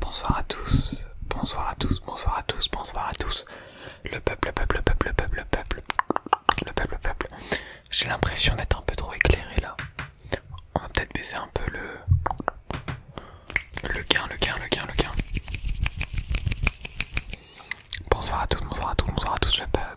Bonsoir à tous, bonsoir à tous, bonsoir à tous, bonsoir à tous. Le peuple, le peuple, le peuple, le peuple, le peuple, le peuple, peuple. J'ai l'impression d'être un peu trop éclairé là. On va peut-être baisser un peu le... Le gain, le gain, le gain, le gain. Bonsoir à tous, bonsoir à tous, bonsoir à tous, le peuple.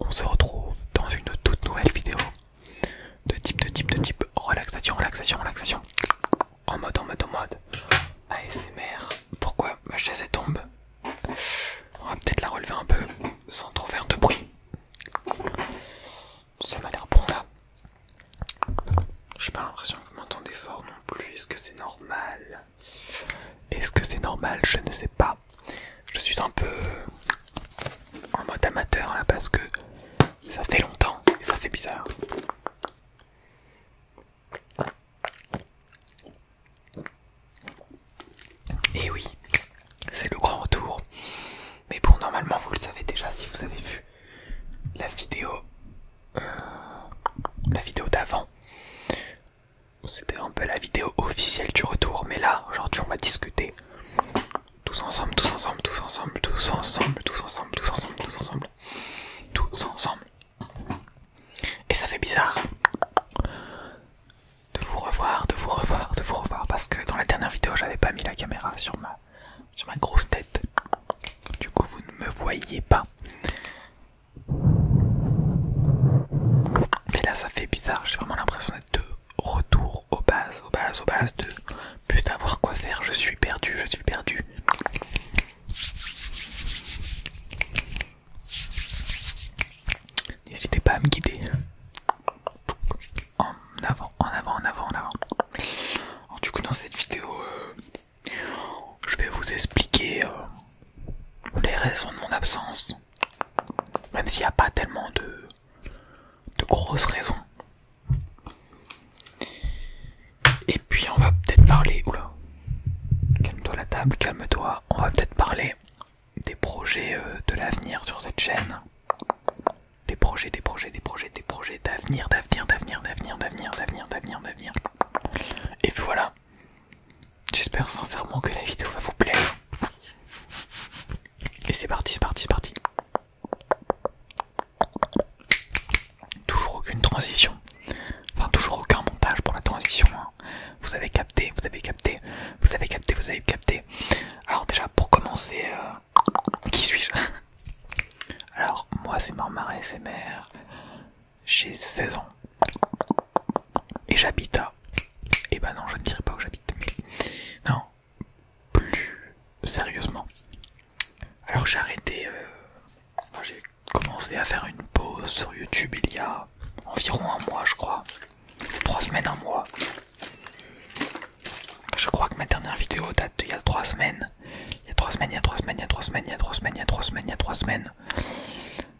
on se retrouve dans une toute nouvelle vidéo de type de type de type relaxation relaxation relaxation en mode en mode en mode ASMR pourquoi ma chaise tombe on va peut-être la relever un peu sans trop faire de bruit ça m'a l'air bon là j'ai pas l'impression que vous m'entendez fort non plus est-ce que c'est normal est-ce que c'est normal je ne sais pas je suis un peu en mode amateur là parce que ça fait longtemps et ça fait bizarre. Et oui, c'est le grand retour. Mais bon, normalement, vous le savez déjà si vous avez vu la vidéo, euh, la vidéo d'avant. C'était un peu la vidéo officielle du retour, mais là, aujourd'hui, on va discuter tous ensemble, tous ensemble, tous ensemble, tous ensemble, tous ensemble, tous ensemble, tous ensemble, tous ensemble. Et ça fait bizarre de vous revoir, de vous revoir, de vous revoir, parce que dans la dernière vidéo, j'avais pas mis la caméra sur ma, sur ma grosse tête. Du coup, vous ne me voyez pas. Mais là ça fait bizarre, j'ai vraiment l'impression d'être de retour aux bases, aux bases, aux bases de plus savoir quoi faire, je suis perdu, je suis perdu. N'hésitez pas à me guider. En avant, en avant, en avant, en avant. du coup dans cette vidéo, euh, je vais vous expliquer euh, les raisons de mon absence. Même s'il n'y a pas tellement de, de grosses raisons. Et puis on va peut-être parler... Oula Calme-toi la table, calme-toi. On va peut-être parler des projets euh, de l'avenir sur cette chaîne. Des projets, des projets, des projets, des projets d'avenir, d'avenir, d'avenir, d'avenir, d'avenir, d'avenir, d'avenir, d'avenir. Et puis voilà. J'espère sincèrement que la vidéo va vous plaire. Et c'est parti, c'est parti, c'est parti. Toujours aucune transition. Enfin, toujours aucun montage pour la transition. Hein. Vous avez capté, vous avez capté, vous avez capté, vous avez capté. Alors déjà, pour commencer, euh, qui suis-je Alors, moi c'est et Mère. j'ai 16 ans et j'habite à. Et eh ben non, je ne dirai pas où j'habite, Non, plus sérieusement. Alors j'ai arrêté. Euh, j'ai commencé à faire une pause sur YouTube il y a environ un mois, je crois. Trois semaines, un mois. Je crois que ma dernière vidéo date d'il y a trois semaines. Il y a trois semaines, il y a trois semaines, il y a trois semaines, il y a trois semaines, il y a trois semaines, il y a trois semaines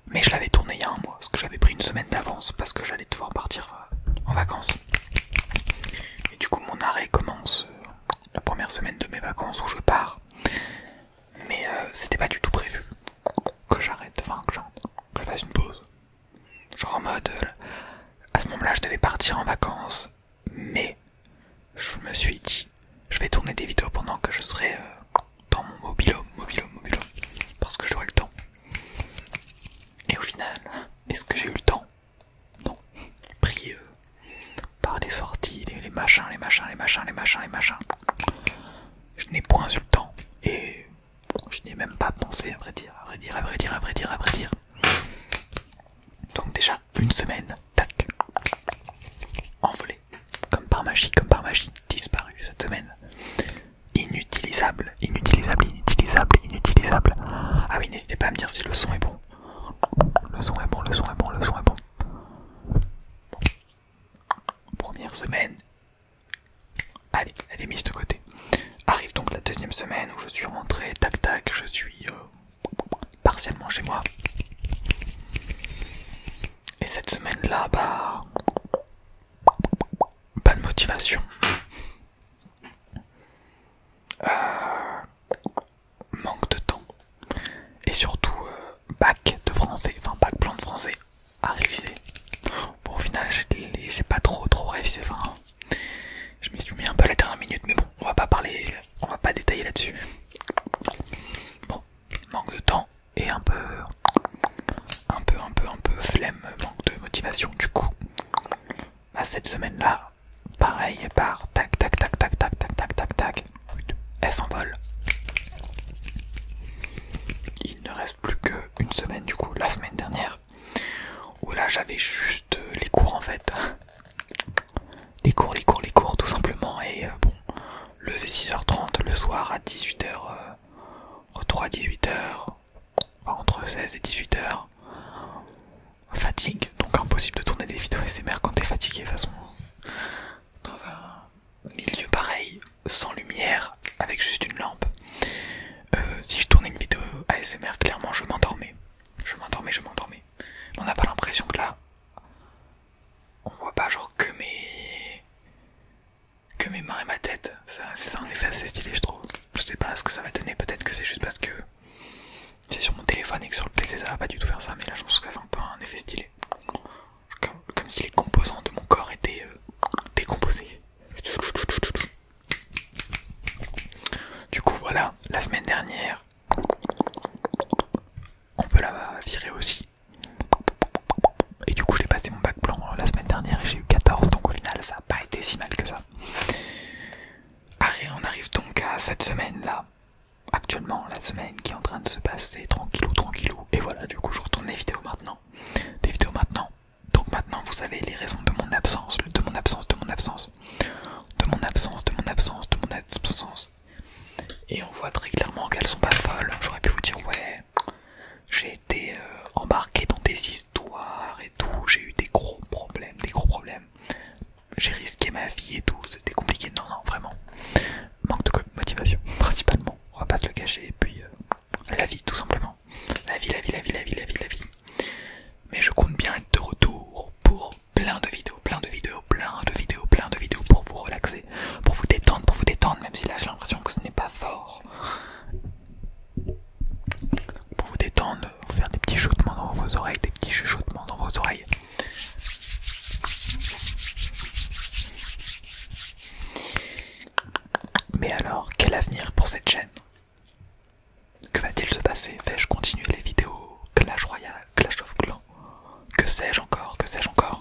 mais je l'avais tourné il y a un mois, parce que j'avais pris une semaine d'avance parce que j'allais devoir partir euh, en vacances. Et du coup mon arrêt commence euh, la première semaine de mes vacances où je pars. Mais euh, c'était pas du tout prévu que j'arrête, enfin que je fasse une pause. Genre en mode, à ce moment-là je devais partir en vacances, mais je me suis dit, je vais tourner des vidéos pendant que je serai dans mon mobilum, mobilum, mobilum, parce que j'aurais le temps. Et au final, est-ce que j'ai eu le temps Non. Prieux par des sorties, les, machins, les machins, les machins, les machins, les machins. Je n'ai point eu le temps et je n'ai même pas pensé à vrai dire, à vrai dire, à vrai dire, à vrai dire, à vrai dire. Donc déjà une semaine, tac, envolé, comme par magie, comme par magie disparu cette semaine. Inutilisable, inutilisable, inutilisable, inutilisable. Ah oui, n'hésitez pas à me dire si le son est bon. Le son est bon, le son est bon, le son est bon. Première semaine. Allez, elle est mise de côté. Arrive donc la deuxième semaine où je suis rentré, tac tac, je suis euh, partiellement chez moi. Et cette semaine-là, bah. Pas de motivation. Euh, manque de temps. Et surtout, euh, bac de français, enfin bac plan de français à réviser. Bon, au final, j'ai pas trop trop révisé. Enfin, je m'y suis mis un peu à la dernière minute, mais bon, on va pas parler, on va pas détailler là-dessus. Bon, manque de temps, et un peu un peu un peu un peu flemme manque de motivation du coup à bah, cette semaine là pareil par tac tac tac tac tac tac tac tac tac elle s'envole il ne reste plus qu'une semaine du coup la semaine dernière où là j'avais juste les cours en fait les cours les cours les cours tout simplement et euh, bon lever 6h30 le soir à 18h 3 18h, entre 16 et 18h. Fatigue, donc impossible de tourner des vidéos ASMR quand t'es fatigué de toute façon. Dans un milieu pareil, sans lumière, avec juste une lampe. Euh, si je tournais une vidéo ASMR, clairement je m'endormais. Je m'endormais, je m'endormais. On n'a pas l'impression que là, on voit pas genre que mes que mes mains et ma tête. C'est un effet assez stylé, je trouve. Je sais pas ce que ça va donner, peut-être que c'est juste parce que c'est sur mon téléphone et que sur le PC ça va pas du tout faire ça, mais là je pense que ça fait un peu un effet stylé. Comme, si les composants de mon corps étaient euh, décomposés. Du coup, voilà, la semaine dernière, on peut la virer aussi. Et du coup, j'ai passé mon bac blanc euh, la semaine dernière et j'ai eu 14, donc au final, ça n'a pas été si mal que ça. Arrêt. on arrive donc à cette semaine-là. Actuellement, la semaine qui est en train de se passer tranquillou, tranquillou. Et voilà, du coup, je retourne les vidéos maintenant. Des vidéos maintenant. Donc maintenant, vous savez les raisons de mon absence, de mon absence, de mon absence, de mon absence, de mon absence, de mon absence. Et on voit très clairement qu'elles sont pas folles. J'aurais pu vous dire ouais, j'ai été euh, embarqué dans des histoires et tout. J'ai eu des gros problèmes, des gros problèmes. J'ai risqué ma vie et tout. C'était compliqué. Non, non, vraiment. Manque de motivation, principalement. On va pas se le cacher. Et puis, euh, la vie, tout simplement. La vie, la vie, la vie, la vie, la vie, la vie. Mais je compte bien être de retour pour plein de vidéos, plein de vidéos, plein de vidéos, plein de vidéos pour vous relaxer pour vous détendre, pour vous détendre, même si là j'ai l'impression que ce n'est pas fort. Pour vous détendre, vous faire des petits chuchotements dans vos oreilles, des petits chuchotements dans vos oreilles. Mais alors, quel avenir pour cette chaîne Que va-t-il se passer fais je continuer les vidéos Clash Royale, Clash of Clans Que sais-je encore Que sais-je encore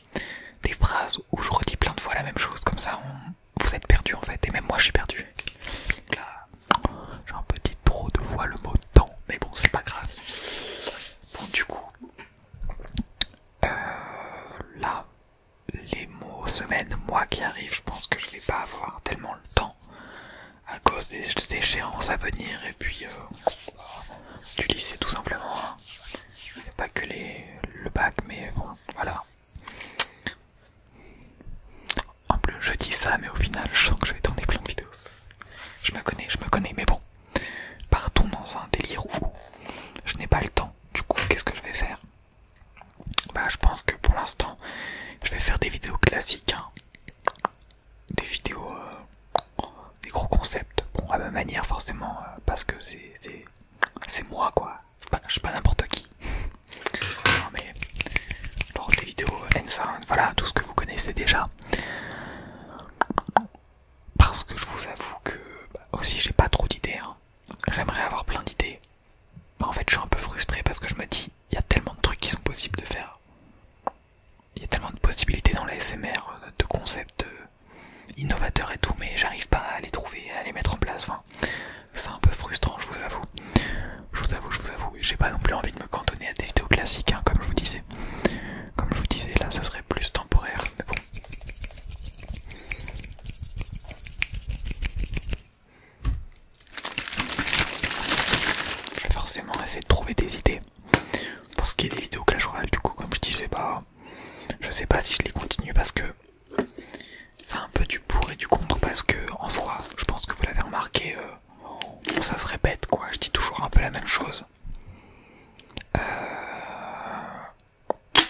des phrases où je redis plein de fois la même chose, comme ça vous êtes perdu en fait, et même moi je suis perdu. là, j'ai un petit trop de voix le mot temps, mais bon, c'est pas grave. Bon, du coup, euh, là, les mots semaine, mois qui arrivent, je pense que je vais pas avoir tellement le temps à cause des échéances à venir et puis euh, du lycée tout simplement. Hein. Je pas que les, le bac, mais bon, voilà. En plus, je dis ça, mais au final, je sens que je vais tourner plein de vidéos. Je me connais, je me connais, mais bon. Partons dans un délire où je n'ai pas le temps. Du coup, qu'est-ce que je vais faire Bah, je pense que pour l'instant, je vais faire des vidéos classiques. Hein. Des vidéos, euh, des gros concepts. Bon, à ma manière, forcément, euh, parce que c'est c'est moi quoi, je suis pas n'importe qui. non mais, des vidéos voilà tout ce que vous connaissez déjà. Parce que je vous avoue que, bah, aussi j'ai pas trop d'idées, hein. j'aimerais avoir plein d'idées. En fait, je suis un peu frustré parce que je me dis, il y a tellement de trucs qui sont possibles de faire. Il y a tellement de possibilités dans la SMR, euh, de concepts, euh, innovateurs et tout, mais j'arrive pas à les trouver, à les mettre en place. c'est un peu frustrant, je vous avoue. Je vous avoue, je vous avoue. J'ai pas non plus envie de me cantonner à des vidéos classiques, hein, comme je vous disais. Comme je vous disais, là, ce serait plus temporaire, mais bon. Je vais forcément essayer de trouver des idées. Pour ce qui est des vidéos Clash du coup, comme je disais, bah, je sais pas si je les continue parce que c'est un peu du pour et du contre parce que en soi, je pense que vous l'avez remarqué, euh, ça se répète quoi, je dis toujours un peu la même chose. Euh,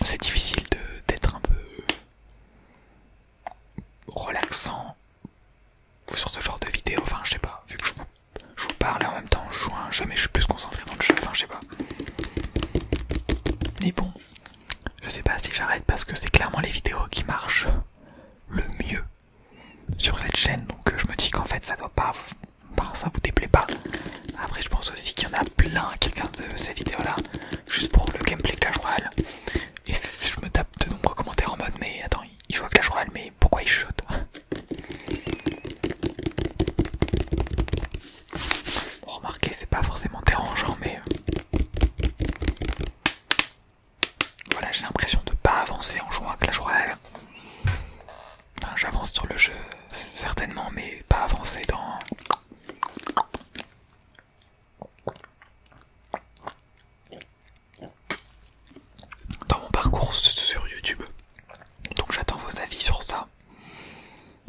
c'est difficile d'être un peu relaxant sur ce genre de vidéo, enfin je sais pas, vu que je vous, parle et en même temps je joue jamais. je suis plus concentré dans le jeu, enfin je sais pas. Mais bon, je sais pas si j'arrête parce que c'est clairement les vidéos qui marchent le mieux sur cette chaîne. Donc euh, je me dis qu'en fait ça doit pas ça vous déplaît pas. Après je pense aussi qu'il y en a plein qui regardent ces vidéos là juste pour le gameplay Clash Royale. Et je me tape de nombreux commentaires en mode mais attends, il joue à Clash Royale mais pourquoi il shoote remarquez, c'est pas forcément dérangeant, mais euh, voilà, j'ai l'impression de pas avancer en jouant à Clash Royale. J'avance sur le jeu, certainement, mais pas avancer dans. Dans mon parcours sur YouTube, donc j'attends vos avis sur ça.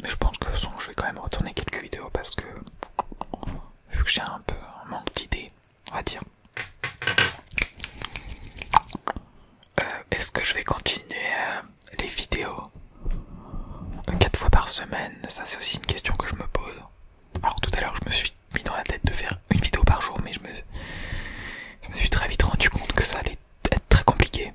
Mais je pense que je vais quand même retourner quelques vidéos parce que vu que j'ai un peu un manque d'idées, on va dire. Euh, est-ce que je vais continuer euh, les vidéos 4 euh, fois par semaine Ça c'est aussi une question que je me pose. Alors tout à l'heure je me suis mis dans la tête de faire une vidéo par jour mais je me suis très vite rendu compte que ça allait être très compliqué.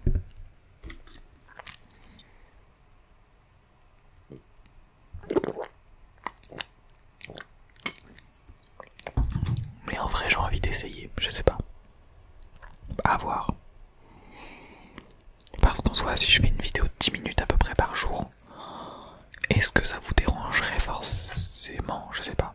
Mais en vrai, j'ai envie d'essayer, je sais pas. À voir. Parce qu'en soit, si je fais une vidéo de 10 minutes à peu près par jour, est-ce que ça vous dérangerait forcément Je sais pas.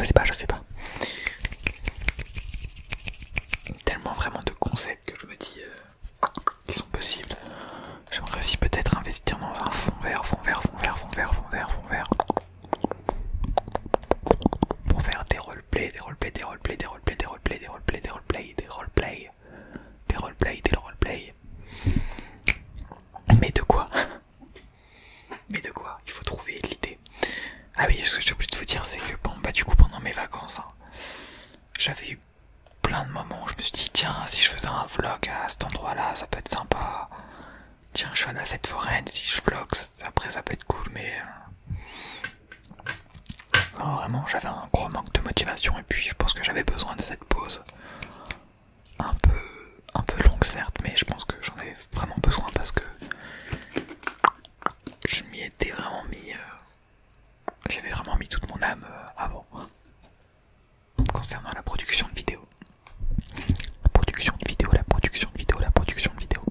je sais pas, je sais pas. Tellement vraiment de concepts que je me dis euh, qu'ils sont possibles. J'aimerais aussi peut-être investir dans un fond vert, fond vert, fond vert, fond vert, fond vert, fond vert. Pour faire des roleplays, des play, des play, des play, des play, des play, des roleplays, des play, des roleplays, des Mais de quoi mais de quoi Il faut trouver l'idée. Ah oui, ce que j'ai oublié de vous dire, c'est que bon, bah, du coup, pendant mes vacances, hein, j'avais eu plein de moments où je me suis dit, tiens, si je faisais un vlog à cet endroit-là, ça peut être sympa. Tiens, je suis à cette fête si je vlog, après ça peut être cool, mais. Euh, vraiment, j'avais un gros manque de motivation et puis je pense que j'avais besoin de cette pause un peu, un peu longue certes, mais je pense que j'en ai vraiment besoin parce que je m'y étais vraiment mis, euh, j'avais vraiment mis toute mon âme euh, avant concernant la production de vidéos. La production de vidéos, la production de vidéos, la production de vidéos.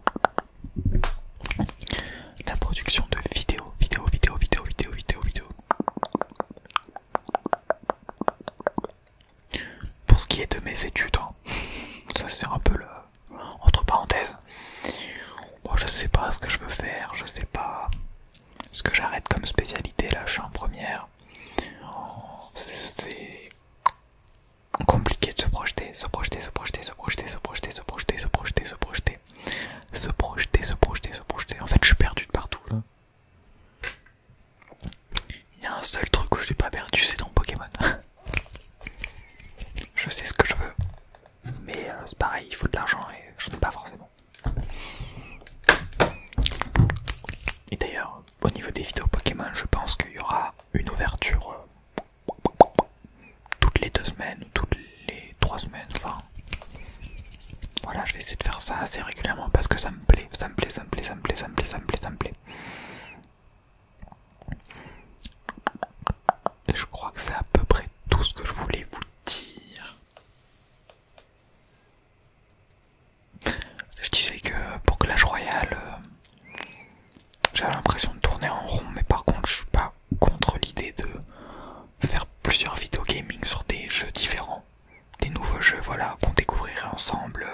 La production de vidéos, vidéos, vidéos, vidéos, vidéos, vidéos, vidéos. Pour ce qui est de mes études, hein. ça c'est un peu le... entre parenthèses. Oh, je sais pas ce que je veux faire, je sais pas ce que j'arrête comme spécialité, là je suis en première. c'est compliqué de se projeter, se projeter, se projeter, se projeter, se projeter, se projeter, se projeter, se projeter, se projeter, se projeter, se projeter. En fait, je suis perdu de partout là. Il y a un seul truc où je n'ai pas perdu, c'est dans Pokémon. je sais ce que je veux, mais euh, c'est pareil, il faut de l'argent et j'en ai pas forcément. Et d'ailleurs, au niveau des vidéos Pokémon, je pense qu'il y aura une ouverture euh, toutes les deux semaines ou toutes les trois semaines. Enfin, voilà, je vais essayer de faire ça assez régulièrement parce que ça me ça me plaît, ça Je crois que c'est à peu près tout ce que je voulais vous dire. Je disais que pour Clash Royale, euh, j'avais l'impression de tourner en rond, mais par contre, je suis pas contre l'idée de faire plusieurs vidéos gaming sur des jeux différents des nouveaux jeux voilà qu'on découvrira ensemble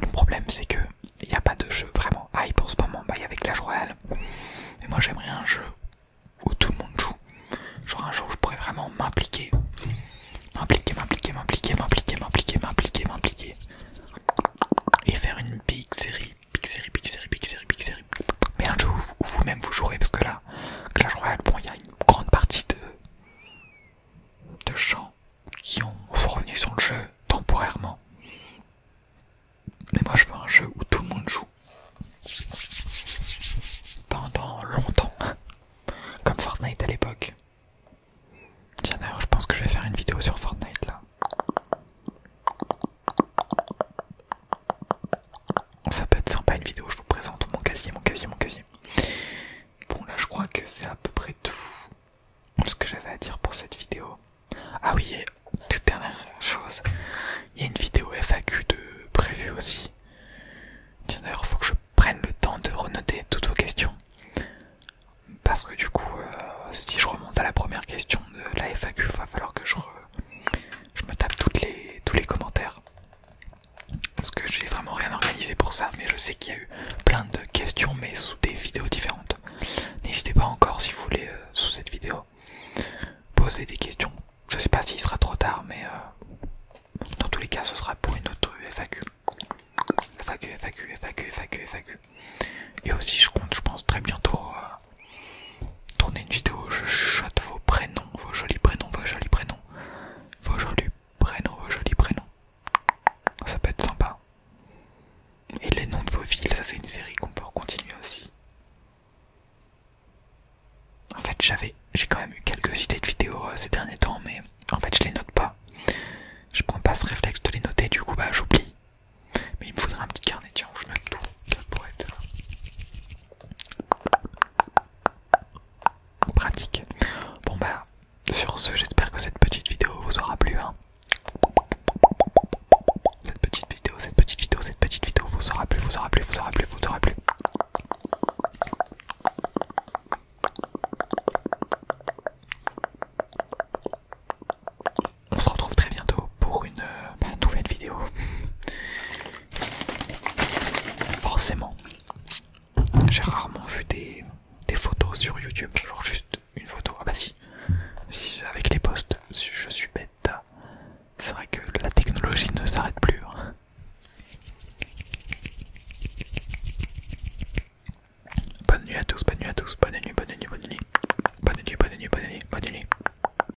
le problème c'est que il n'y a pas de jeu vraiment hype en ce moment bah il avec Clash Royale mais moi j'aimerais un jeu où tout le monde joue genre un jeu où je pourrais vraiment m'impliquer m'impliquer m'impliquer m'impliquer m'impliquer m'impliquer m'impliquer m'impliquer et faire une big série big série big série big série big série mais un jeu où vous-même vous, vous jouerez parce que là Clash Royale, bon, il y a une grande partie de, gens qui ont, revenu sur le jeu temporairement. Mais moi, je veux un jeu où tout le monde joue pendant longtemps, comme Fortnite à l'époque. Tiens, d'ailleurs, je pense que je vais faire une vidéo sur Fortnite là. Ça peut être sympa une vidéo, je vous présente mon casier, mon casier, mon casier. Bon là je crois que c'est à peu près tout ce que j'avais à dire pour cette vidéo. Ah oui, et toute dernière chose, il y a une vidéo FAQ de prévu aussi. Tiens d'ailleurs faut que je prenne le temps de renoter toutes vos questions. Parce que du coup, euh, si je remonte à la première question de la FAQ, il va falloir que je, re, je me tape les, tous les commentaires. Parce que j'ai vraiment rien organisé pour ça, mais je sais qu'il y a eu plein de questions, mais sous des vidéos différentes. N'hésitez pas encore si vous voulez, euh, sous cette vidéo, poser des questions. Je sais pas s'il sera trop tard, mais euh, dans tous les cas, ce sera pour une autre FAQ. FAQ, FAQ, FAQ, FAQ, FAQ. Et aussi, je compte, je pense, très bientôt euh, Tournez tourner une vidéo je chatte vos prénoms, vos jolis prénoms, vos jolis prénoms, vos jolis prénoms, vos jolis prénoms. Ça peut être sympa. Et les noms de vos villes, ça c'est une série qu'on peut continuer aussi. En fait, j'avais, j'ai quand même eu quelques idées de vidéos euh, ces derniers temps, mais en fait, je les note pas. Je prends pas ce réflexe de les noter, du coup, bah j'oublie. Mais il me faudrait un petit carnet, tiens, je mets tout. Ça pourrait être pratique. Bon bah sur ce j'espère que cette petite vidéo vous aura plu. Hein. Cette petite vidéo, cette petite vidéo, cette petite vidéo vous aura plu, vous aura plu, vous aura plu, vous aura plu. On se retrouve très bientôt pour une euh, bah, nouvelle vidéo. Forcément, j'ai rarement vu des, photos sur YouTube, genre juste une photo. Ah bah si, si avec les posts, je suis bête. C'est vrai que la technologie ne s'arrête plus. Hein. Bonne nuit à tous, bonne nuit à tous, bonne nuit, bonne nuit, bonne nuit, bonne nuit, bonne nuit, bonne nuit, bonne nuit.